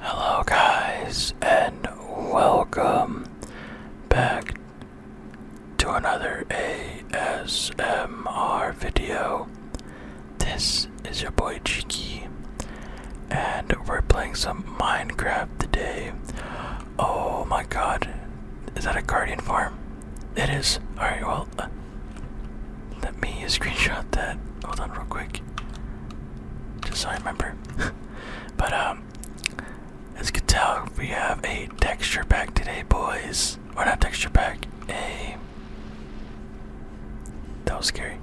Hello, guys, and welcome back to another ASMR video. This is your boy Cheeky, and we're playing some Minecraft today. Oh my god, is that a guardian farm? It is. Alright, well, uh, let me screenshot that. Hold on, real quick just so I remember. but um, as you can tell, we have a texture pack today, boys. Or not texture pack, a that was scary.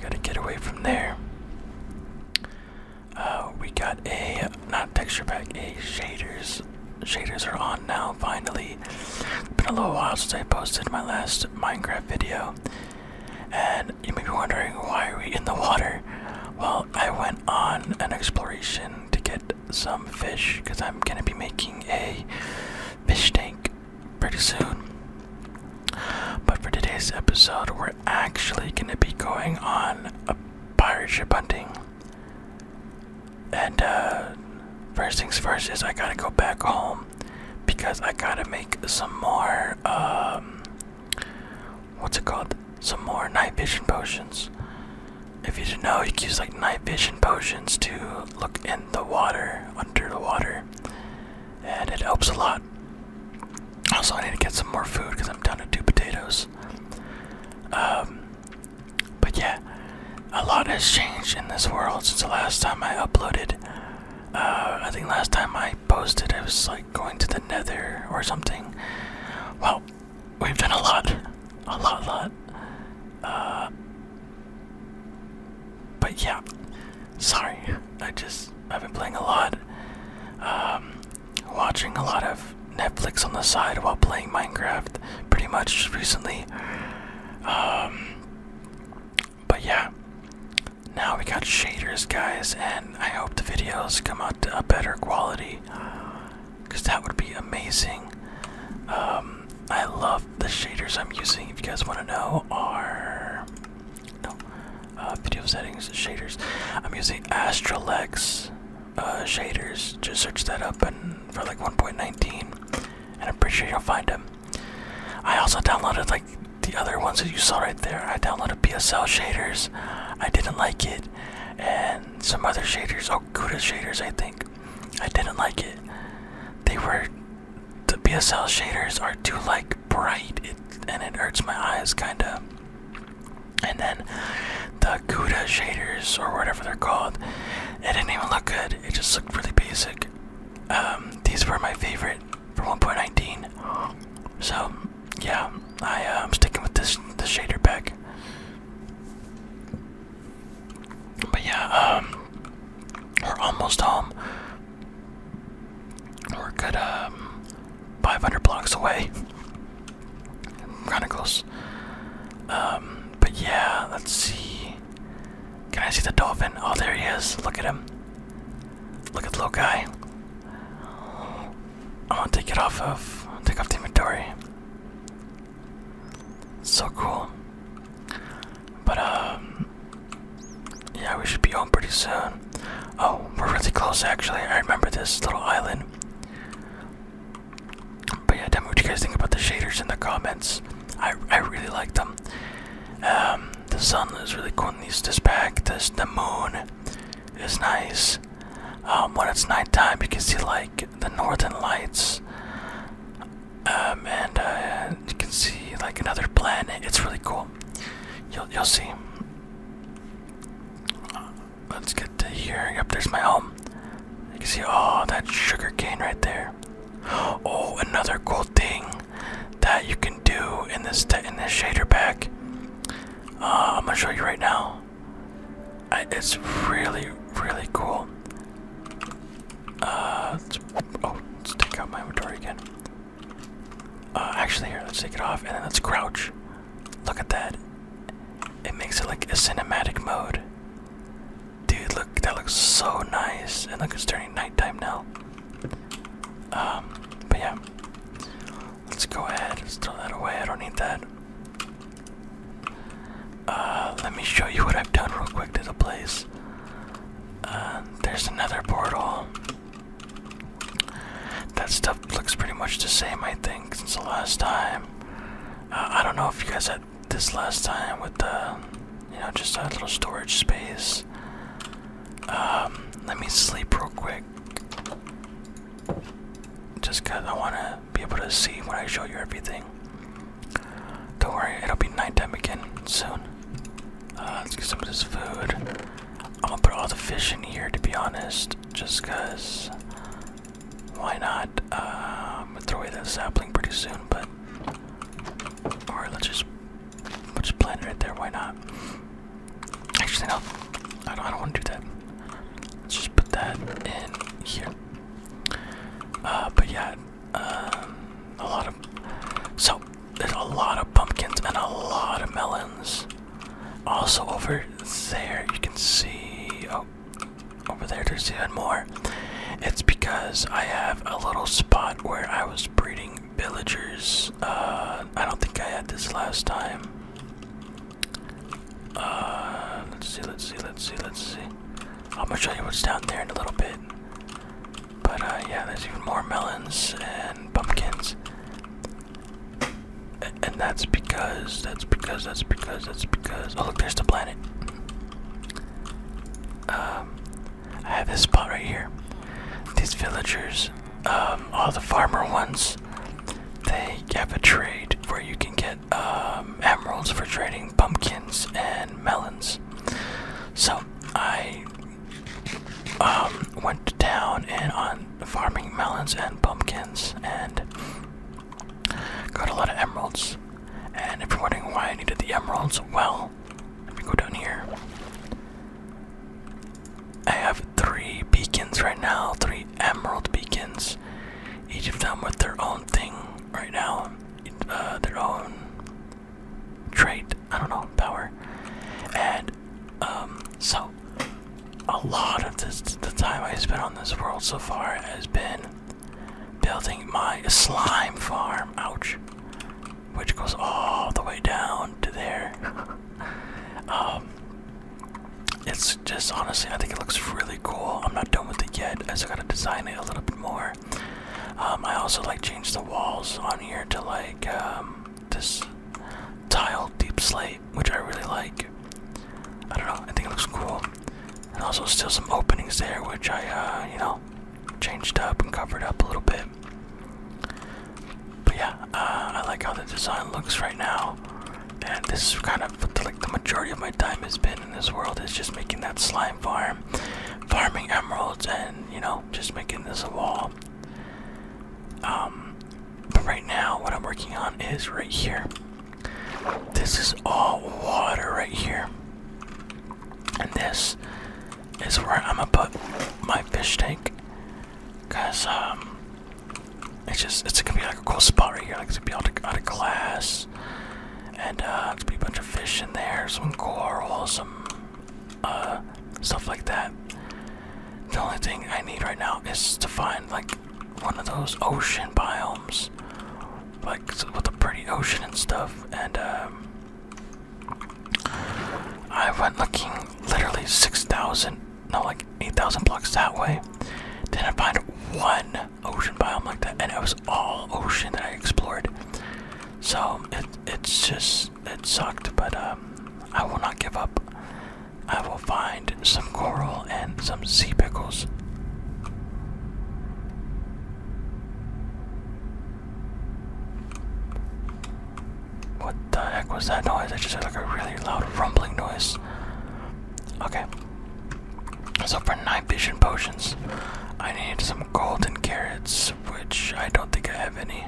Gotta get away from there. Uh, we got a not texture pack, a shaders shaders are on now, finally. It's been a little while since I posted my last Minecraft video. And you may be wondering, why are we in the water? Well, I went on an exploration to get some fish because I'm going to be making a fish tank pretty soon. But for today's episode, we're actually going to be going on a pirate ship hunting. And uh, first things first is I gotta go back home because I gotta make some more, um, what's it called? Some more night vision potions. If you didn't know, you can use like night vision potions to look in the water, under the water, and it helps a lot. Also, I need to get some more food because I'm down to two potatoes. Um, but yeah, a lot has changed in this world since the last time I uploaded. Uh, I think last time I posted, it was like going to the nether or something. Well, we've done a lot. A lot, lot. Uh, but yeah, sorry. I just, I've been playing a lot. Um, watching a lot of Netflix on the side while playing Minecraft pretty much recently. Um, but yeah, now we got shaders, guys, and I hope the videos come out to a better quality because that would be amazing. Um, I love the shaders I'm using. If you guys want to know, are no uh, video settings shaders. I'm using Astrolux uh, shaders. Just search that up and for like 1.19 and I'm pretty sure you'll find him. I also downloaded like the other ones that you saw right there. I downloaded PSL shaders. I didn't like it, and some other shaders, oh Cuda shaders, I think. I didn't like it. They were the PSL shaders are too like bright, and it hurts my eyes kinda. And then the Cuda shaders or whatever they're called, it didn't even look good. It just looked really basic. Um, these were my favorite for 1.19. So, yeah, I, am uh, sticking with this, this shader pack. But yeah, um, we're almost home. We're good, um, 500 blocks away. Kind of close. Um, but yeah, let's see. Can I see the dolphin? Oh, there he is. Look at him. Look at the little guy. i want to take it off of, take off the inventory. So cool. But um, yeah, we should be home pretty soon. Oh, we're really close actually. I remember this little island. But yeah, tell me what you guys think about the shaders in the comments. I I really like them. Um, the sun is really cool in these this pack. the moon is nice. Um, when it's nighttime, you can see like the northern lights. Um, and uh, you can see like another planet. It's really cool. You'll you'll see. Let's get to here. Yep, there's my home. You can see all oh, that sugar cane right there. Oh, another cool thing that you can do in this in this shader pack. Uh, I'm gonna show you right now. it's really really cool. Uh, oh, let's take out my inventory again. Uh, actually, here, let's take it off and then let's crouch. Look at that. It makes it like a cinematic mode. Dude, look, that looks so nice. And look, it's turning nighttime now. Um, but yeah. Let's go ahead. Let's throw that away. I don't need that. Uh, let me show you what I've done real quick to the place. Uh, there's another portal. That stuff looks pretty much the same, I think, since the last time. Uh, I don't know if you guys had this last time with the, you know, just a little storage space. Um, let me sleep real quick. Just cause I wanna be able to see when I show you everything. Don't worry, it'll be nighttime again soon. Uh, let's get some of this food. i am gonna put all the fish in here to be honest, just cause why not? I'm um, gonna throw away that sapling pretty soon, but all let's just let's just plant it right there. Why not? Actually, no, I don't. want to do that. Let's just put that in here. Uh, but yeah, um, a lot of so there's a lot of pumpkins and a lot of melons. Also over there, you can see. Oh, over there, there's even more. It's because I have a little spot where I was breeding villagers. Uh, I don't think I had this last time. Uh, let's see, let's see, let's see, let's see. I'm gonna show you what's down there in a little bit. But uh, yeah, there's even more melons and pumpkins. And, and that's because, that's because, that's because, that's because. Oh, look, there's the plant. Um, I have this spot right here. These villagers, um, all the farmer ones, they have a trade where you can get um, emeralds for trading pumpkins and melons. So I um, went to town and on farming melons and pumpkins and Got a lot of emeralds. And if you're wondering why I needed the emeralds, well, let me go down here. I have three beacons right now, three emerald beacons. Each of them with their own thing right now, uh, their own trait, I don't know, power. And um, so a lot of the time I spent on this world so far has been building my slime farm. Ouch. Which goes all the way down to there. um, it's just honestly, I think it looks really cool. I'm not done with it yet, I still gotta design it a little bit more. Um, I also like changed the walls on here to like um, this tile deep slate, which I really like. I don't know, I think it looks cool. And also still some openings there, which I, uh, you know, changed up and covered up a little bit. But yeah, uh, I like how the design looks right now. And this kind of like the majority of my time has been in this world is just making that slime farm, farming emeralds, and you know, just making this a wall. Um, but right now, what I'm working on is right here. This is all water right here. And this is where I'm gonna put my fish tank. Cause um it's just it's gonna be like a cool spot right here. Like it's gonna be out of, out of glass. And uh it's gonna be a bunch of fish in there, some coral, some uh stuff like that. The only thing I need right now is to find like one of those ocean biomes, like with a pretty ocean and stuff. And um, I went looking literally 6,000, no, like 8,000 blocks that way. Didn't find one ocean biome like that, and it was all ocean that I explored. So it, it's just, it sucked, but um, I will not give up. I will find some coral and some sea pickles. What the heck was that noise? I just heard like a really loud rumbling noise. Okay. So for night vision potions, I need some golden carrots, which I don't think I have any.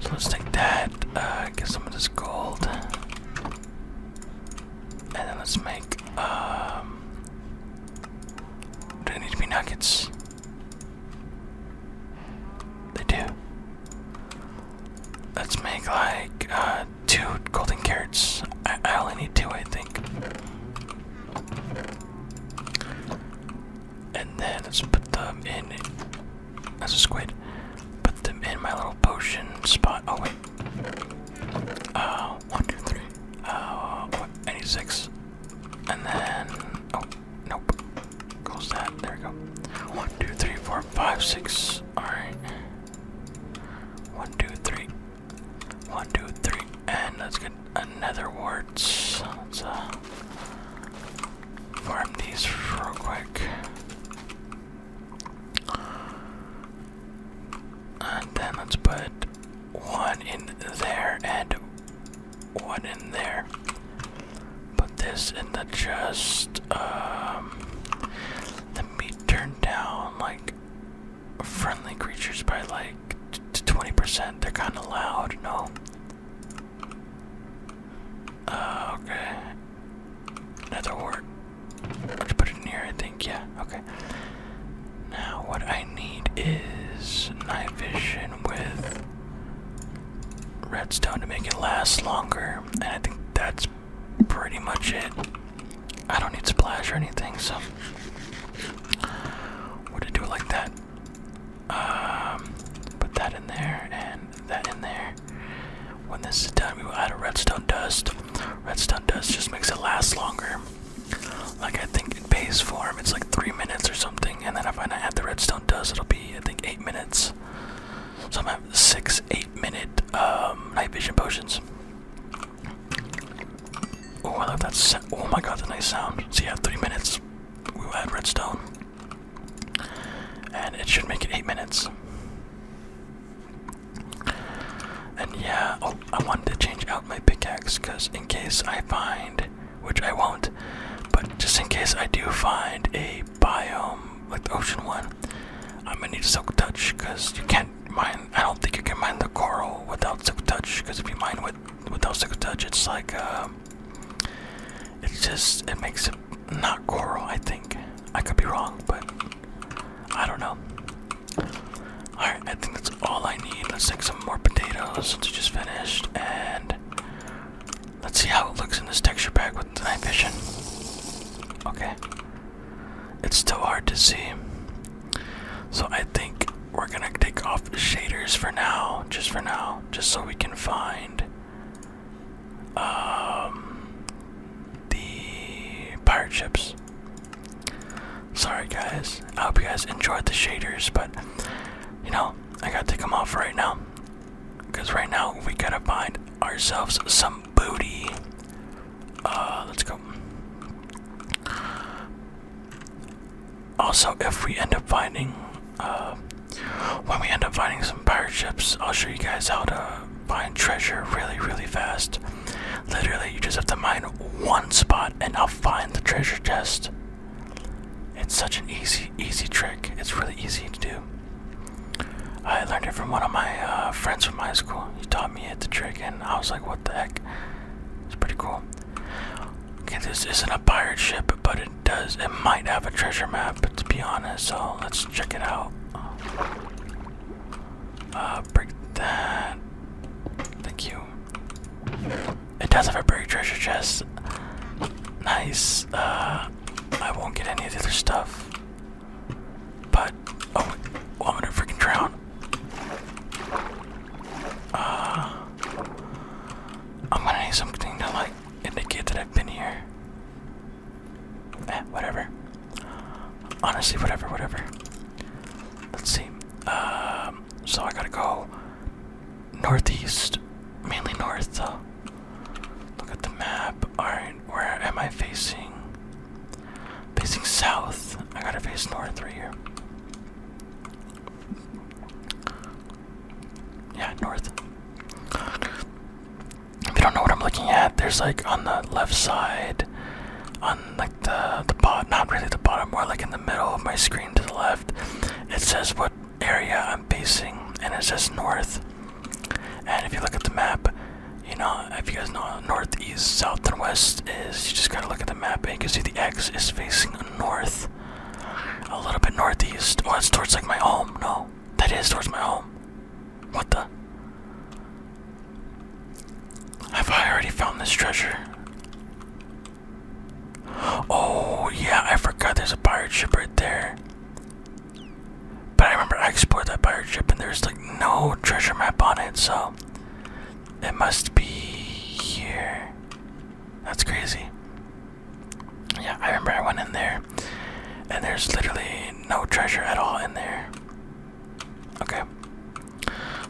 So let's take that, uh, get some of this gold. And then let's make, um, do they need to be nuggets? They do. Let's make like, uh, two golden carrots. I, I only need two, I think. And then let's put them in that's a squid. Put them in my little potion spot. Oh, wait. Uh, one, two, three. Uh, what? I need six. And then. Oh, nope. Close that. There we go. One, two, three, four, five, six. Alright. One, two, three. One, two, three. And let's get another warts. Let's, uh. Farm these real quick. And then let's put one in there and one in there. Put this in the chest. let um, me turn down like friendly creatures by like 20%. They're kind of loud, no? Uh, okay. Another word let put in here, I think. Yeah, okay. Now, what I need is night vision with redstone to make it last longer. And I think that's pretty much it. I don't need splash or anything, so. We're to do it like that. Um, put that in there and that in there. When this is done, we will add a redstone dust. Redstone dust just makes it last longer. Like I think in base form, it's like three minutes or something. And then I if I add the redstone dust, it'll be I think eight minutes. So I'm at six, eight minute um, night vision potions. Oh, I love that. Oh my god, the nice sound. So yeah, three minutes. We will add redstone. And it should make it eight minutes. And yeah, oh, I wanted to change out my pickaxe because in case I find, which I won't, but just in case I do find a biome like the ocean one, I'm gonna need silk touch because you can't mine. I don't think you can mine the coral without silk touch because if you mine with without silk touch, it's like uh, it's just it makes it not coral, I think. I could be wrong, but I don't know. Alright, I think that's all I need. Let's take some more potatoes since we just finished, and let's see how it looks in this texture pack with night vision. Okay. It's still hard to see. So I think we're gonna take off the shaders for now, just for now, just so we can find um, the pirate ships. Sorry guys, I hope you guys enjoyed the shaders, but you know, I gotta come off right now. Because right now, we gotta find ourselves some booty. Uh, let's go. Also, if we end up finding, uh, when we end up finding some pirate ships, I'll show you guys how to find treasure really, really fast. Literally, you just have to mine one spot and I'll find the treasure chest. It's such an easy, easy trick. It's really easy to do. I learned it from one of my uh, friends from high school. He taught me the trick, and I was like, what the heck? It's pretty cool. Okay, this isn't a pirate ship, but does. It might have a treasure map, but to be honest, so let's check it out. Uh, that. Thank you. It does have a buried treasure chest. Nice. Uh, I won't get any of the other stuff. But oh, I'm gonna freaking drown. Uh, I'm gonna need something to like indicate that I've been here. Eh, whatever. Honestly, whatever, whatever. Let's see. Um, so I gotta go northeast, mainly north. Uh, look at the map. Alright, where am I facing? Facing south. I gotta face north right here. Yeah, north. If you don't know what I'm looking at, there's like on the left side, on like the the bot, not really the bottom, more like in the middle of my screen to the left. It says what area I'm facing, and it says north. And if you look at the map, you know if you guys know north, east, south, and west is. You just gotta look at the map, and you can see the X is facing north, a little bit northeast. Oh, it's towards like my home. No, that is towards my home. What the? Have I already found this treasure? Oh, yeah, I forgot there's a pirate ship right there. But I remember I explored that pirate ship and there's like no treasure map on it, so it must be here. That's crazy. Yeah, I remember I went in there, and there's literally no treasure at all in there. Okay.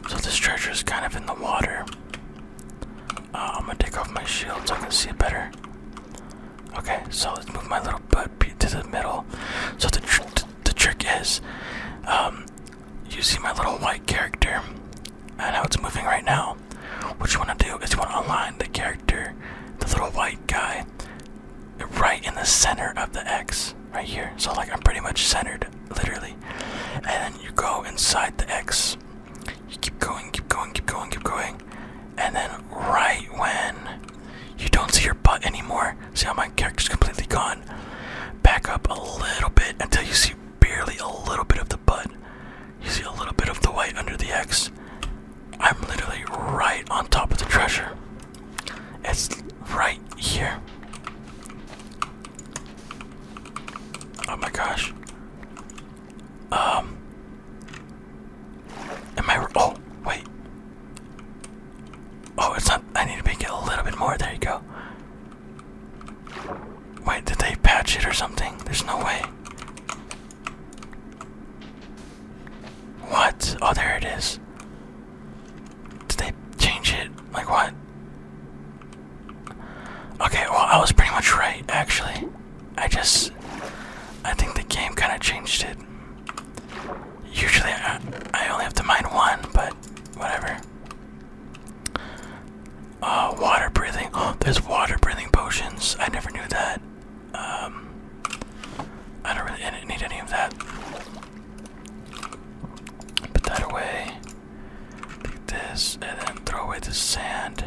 So this treasure is kind of in the water. Uh, I'm gonna take off my shield so I can see it better. Okay, so let's move my little butt to the middle. So the the trick is, um, you see my little white character, and how it's moving right now what you want to do is you want to align the character the little white guy right in the center of the x right here so like i'm pretty much centered literally and then you go inside the x you keep going keep going keep going keep going and then right when you don't see your butt anymore see how my character's completely gone back up a little bit until you see barely a little bit of the butt you see a little bit of the white under the X. I'm literally right on top of the treasure. It's right here. Oh my gosh. Um. Am I. Oh, wait. Oh, it's not. I need to make it a little bit more. There you go. Wait, did they patch it or something? There's no way. What? Oh, there it is. Did they change it? Like what? Okay, well, I was pretty much right, actually. I just. I think the game kind of changed it. Usually I, I only have to mine one, but whatever. Uh, water breathing. Oh, there's water breathing potions. I never knew that. Um, I don't really need any of that. Put that away. Take this, and then throw away the sand.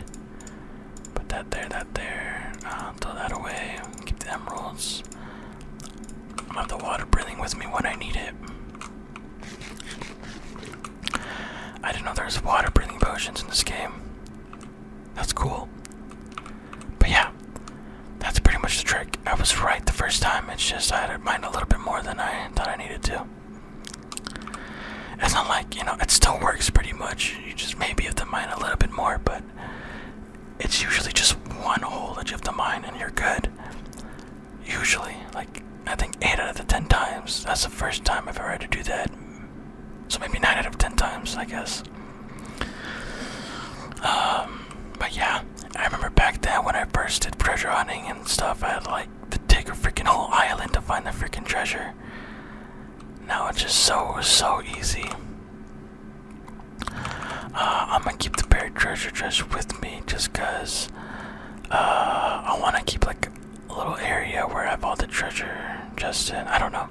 Put that there, that there. Uh, throw that away. Keep the emeralds. I have the water breathing with me when I need it. I didn't know there water breathing potions in this game. That's cool. But yeah, that's pretty much the trick. I was right the first time, it's just I had to mine a little bit more than I thought I needed to. It's not like, you know, it still works pretty much. You just maybe have to mine a little bit more, but it's usually just one hole that you have to mine and you're good. Usually, like I think 8 out of the 10 times, that's the first time I've ever had to do that. So maybe 9 out of 10 times, I guess. Um, but yeah, I remember back then when I first did treasure hunting and stuff, I had to like take a freaking whole island to find the freaking treasure. Now it's just so, so easy. Uh, I'm gonna keep the buried treasure chest with me just because uh, I want to keep like little area where I found the treasure chests I don't know.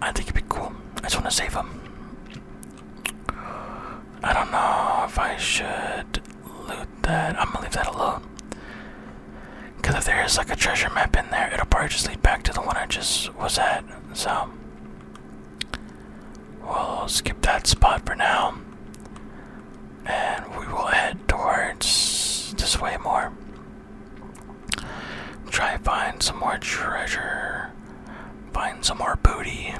I think it'd be cool. I just want to save them. I don't know if I should loot that. I'm gonna leave that alone. Because if there is like a treasure map in there, it'll probably just lead back to the one I just was at. So, we'll skip that spot for now. And we will head towards this way more. Try and find some more treasure. Find some more booty.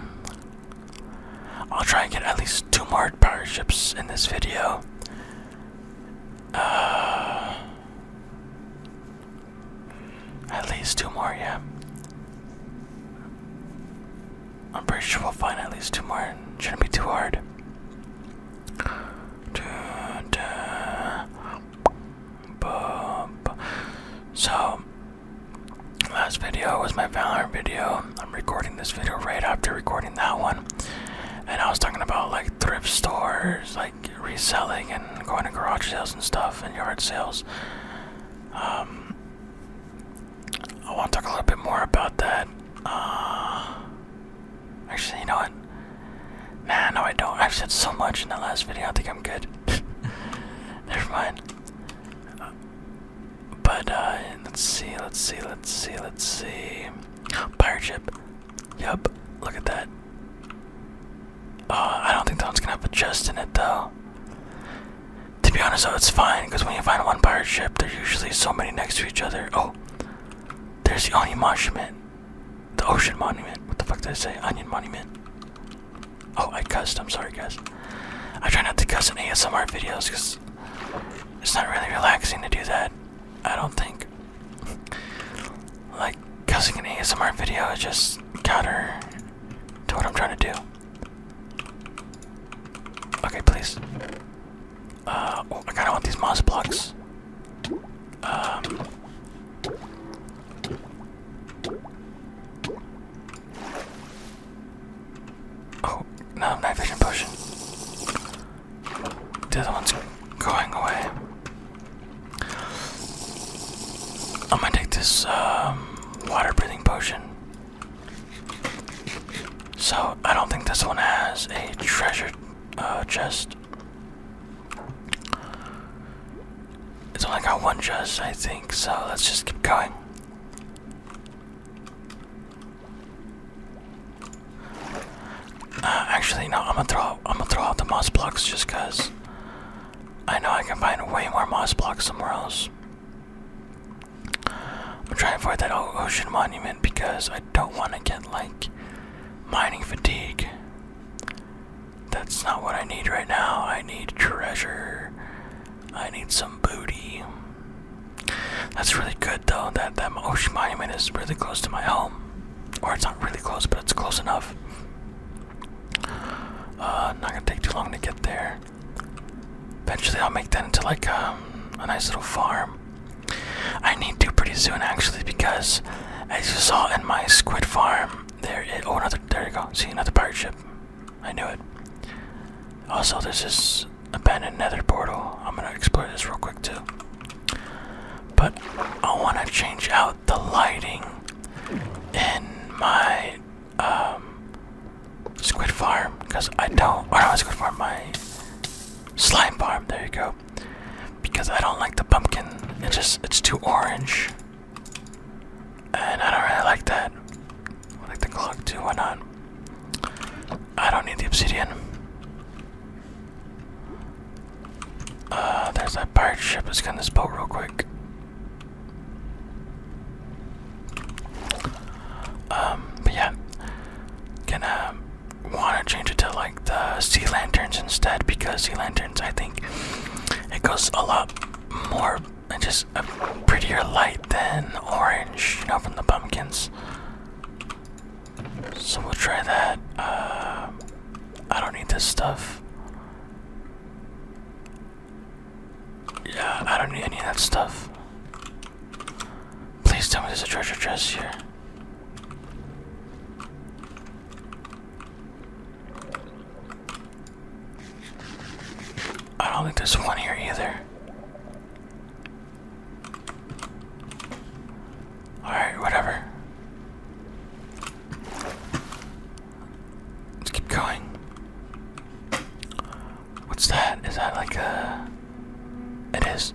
I'll try and get at least two more power ships in this video. Uh, at least two more, yeah. I'm pretty sure we'll find at least two more. Shouldn't be too hard. So, last video was my Valorant video. I'm recording this video right after recording that one. And I was talking about like thrift stores, like reselling and going to garage sales and stuff and yard sales. Um, I want to talk a little bit more about that. Uh, Actually, you know what? Nah, no, I don't. I've said so much in the last video. I think I'm good. Never mind. but uh, let's see, let's see, let's see, let's see. Pirate ship. Yup. Look at that. Uh, I don't think that one's gonna have a chest in it though. To be honest, though, it's fine because when you find one pirate ship, there's usually so many next to each other. Oh, there's the onion monument. The ocean monument. What the fuck did I say? Onion monument. Oh, I cussed. I'm sorry, guys. I try not to cuss in ASMR videos because it's not really relaxing to do that. I don't think. like, cussing in ASMR video is just counter to what I'm trying to do. Okay, please. Uh, oh, I kinda want these moss blocks. Um, oh, no, night vision potion. The other one's going away. I'm gonna take this um, water breathing potion. So, I don't think this one has a treasure treasure uh, chest. It's only got one chest, I think, so let's just keep going. Uh, actually, no, I'm gonna throw I'm gonna throw out the moss blocks just because I know I can find way more moss blocks somewhere else. I'm trying to avoid that ocean monument because I don't want to get like mining fatigue. That's not what I need right now. I need treasure. I need some booty. That's really good though. That that ocean monument is really close to my home. Or it's not really close, but it's close enough. Uh, not gonna take too long to get there. Eventually, I'll make that into like um, a nice little farm. I need to pretty soon actually because as you saw in my squid farm there oh another there you go see another pirate ship I knew it also there's this abandoned nether portal I'm gonna explore this real quick too but I want to change out the lighting in my um, squid farm because I don't I don't squid farm my Slime farm, there you go. Because I don't like the pumpkin. It just it's too orange. And I don't really like that. like the clock too, why not? I don't need the obsidian. Uh there's that pirate ship, let's get this boat real quick. Um, yeah, gonna want to change it to like the sea lanterns instead because sea lanterns, I think, it goes a lot more just a prettier light than orange, you know, from the pumpkins. So we'll try that. Uh, I don't need this stuff. Yeah, I don't need any of that stuff. Please tell me there's a treasure chest here. I don't think there's one here either. Alright, whatever. Let's keep going. What's that? Is that like a. It is.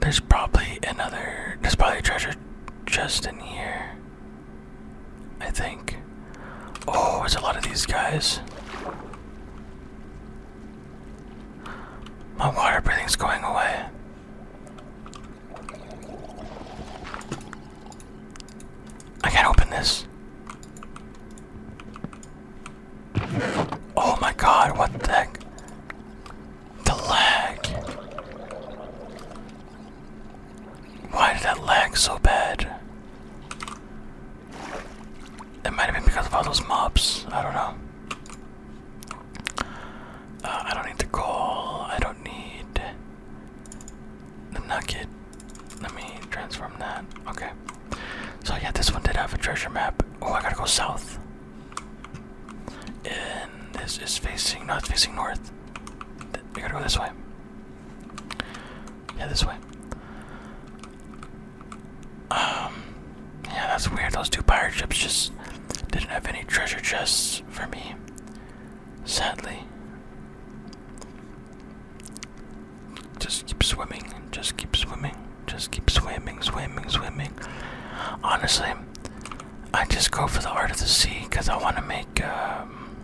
There's probably another. There's probably treasure just in here. I think. Oh, it's a lot of these guys. My water breathing's going away. I can't open this. Oh my god, what the heck? The lag. Why did that lag so bad? It might have been because of all those mobs. I don't know. Uh, I don't need the goal. I don't need the nugget. Let me transform that. Okay. So yeah, this one did have a treasure map. Oh, I gotta go south. And this is facing, no, it's facing north. We gotta go this way. Yeah, this way. Um, yeah, that's weird. Those two pirate ships just didn't have any treasure chests for me. Sadly. Just keep swimming. Just keep swimming. Just keep swimming, swimming, swimming. Honestly, I just go for the art of the sea because I want to make. Um,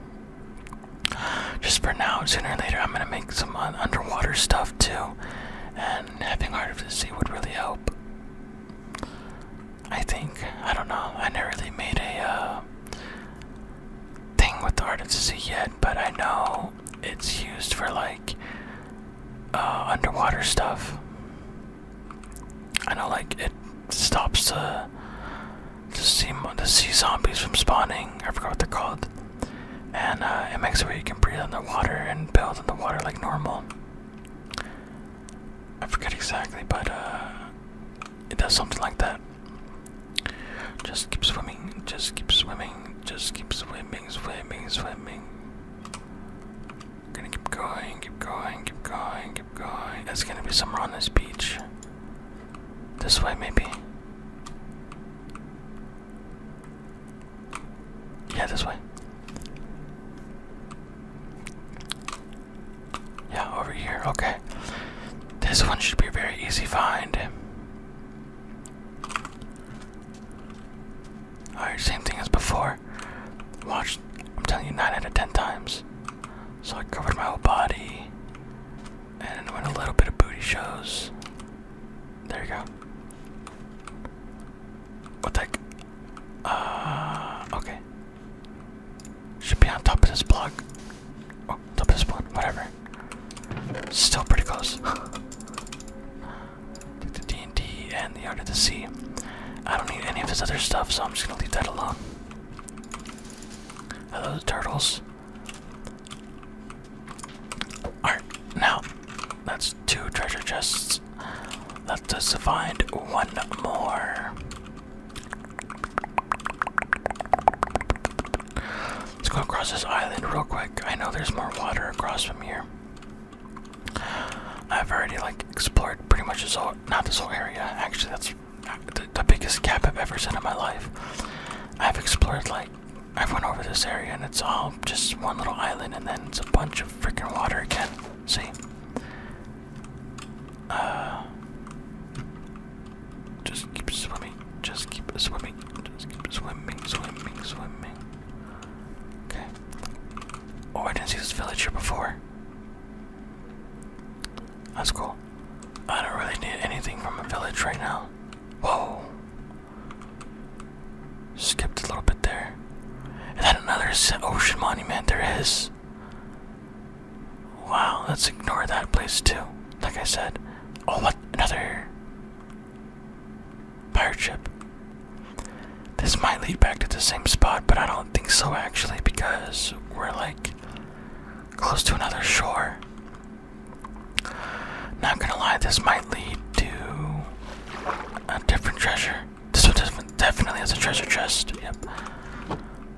just for now, sooner or later, I'm gonna make some underwater stuff too, and having art of the sea would really help. I think I don't know. I never really made a uh, thing with the art of the sea yet, but I know it's used for like uh, underwater stuff. I know, like it stops the the sea the sea zombies from spawning. I forgot what they're called, and uh, it makes it where you can breathe underwater and build underwater like normal. I forget exactly, but uh, it does something like that. Just keep swimming, just keep swimming, just keep swimming, swimming, swimming. Gonna keep going, keep going, keep going, keep going. There's gonna be somewhere on this beach. This way, maybe. Yeah, this way. Yeah, over here. Okay. This one should be a very easy find. Alright, same thing as before. Watch, I'm telling you, 9 out of 10 times. So I covered my whole body and then went a little bit of booty shows. There you go. What the heck? Uh, okay. Should be on top of this block. Oh, double spawn, whatever. Still pretty close. the D&D and the Art of the Sea. I don't need any of this other stuff, so I'm just gonna leave that alone. Hello, the turtles. Alright, now, that's two treasure chests. let us to find one more. Let's go across this island real quick. I know there's more water across from here. I've already like explored pretty much this whole, not this whole area. Actually, that's the, biggest gap I've ever seen in my life. I've explored like, I've went over this area and it's all just one little island and then it's a bunch of freaking water again. See? Uh, just keep swimming. Just keep swimming. Just keep swimming, swimming, swimming. Okay. Oh, I didn't see this village here before. That's cool. I don't really need anything from a village right now. Whoa. Skipped a little bit there. And then another ocean monument there is. Wow, let's ignore that place too. Like I said. Oh, what? Another pirate ship. This might lead back to the same spot, but I don't think so actually because we're like close to another shore. Not gonna lie, this might lead to a different treasure. This one definitely has a treasure chest, yep.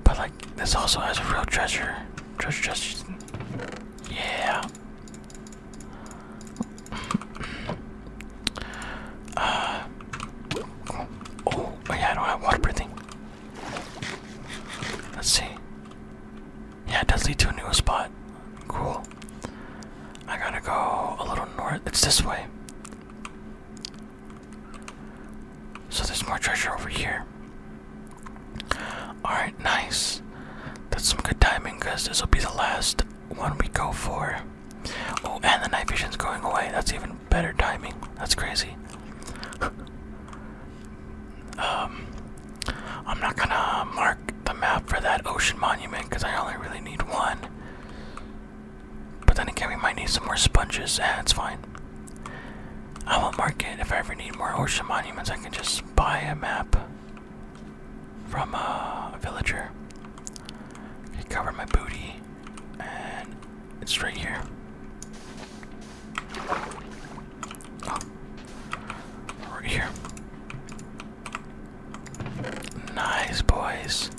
But like, this also has a real treasure. Treasure chest yeah. uh, oh, oh, yeah, I don't have water breathing. Let's see. Yeah, it does lead to a new spot. Cool. I gotta go a little north. It's this way. So there's more treasure over here. Alright, nice. That's some good timing because this will be the last one we go for. Oh, and the night vision's going away. That's even better timing. That's crazy. um, I'm not gonna mark the map for that ocean monument because I only really need one. But then again, we might need some more sponges. Eh, it's fine. I won't mark it. If I ever need more ocean monuments, I can just buy a map from a villager. I cover my booty, and it's right here. Oh. Right here. Nice, boys.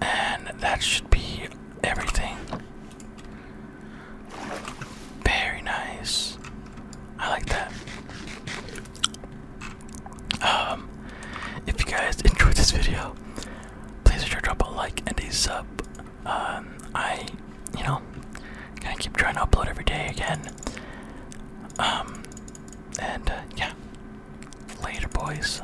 And that should be everything. Very nice. I like that. Um, if you guys enjoyed this video, please sure to drop a like and a sub. Um, I, you know, gonna keep trying to upload every day again. Um, and uh, yeah, later, boys.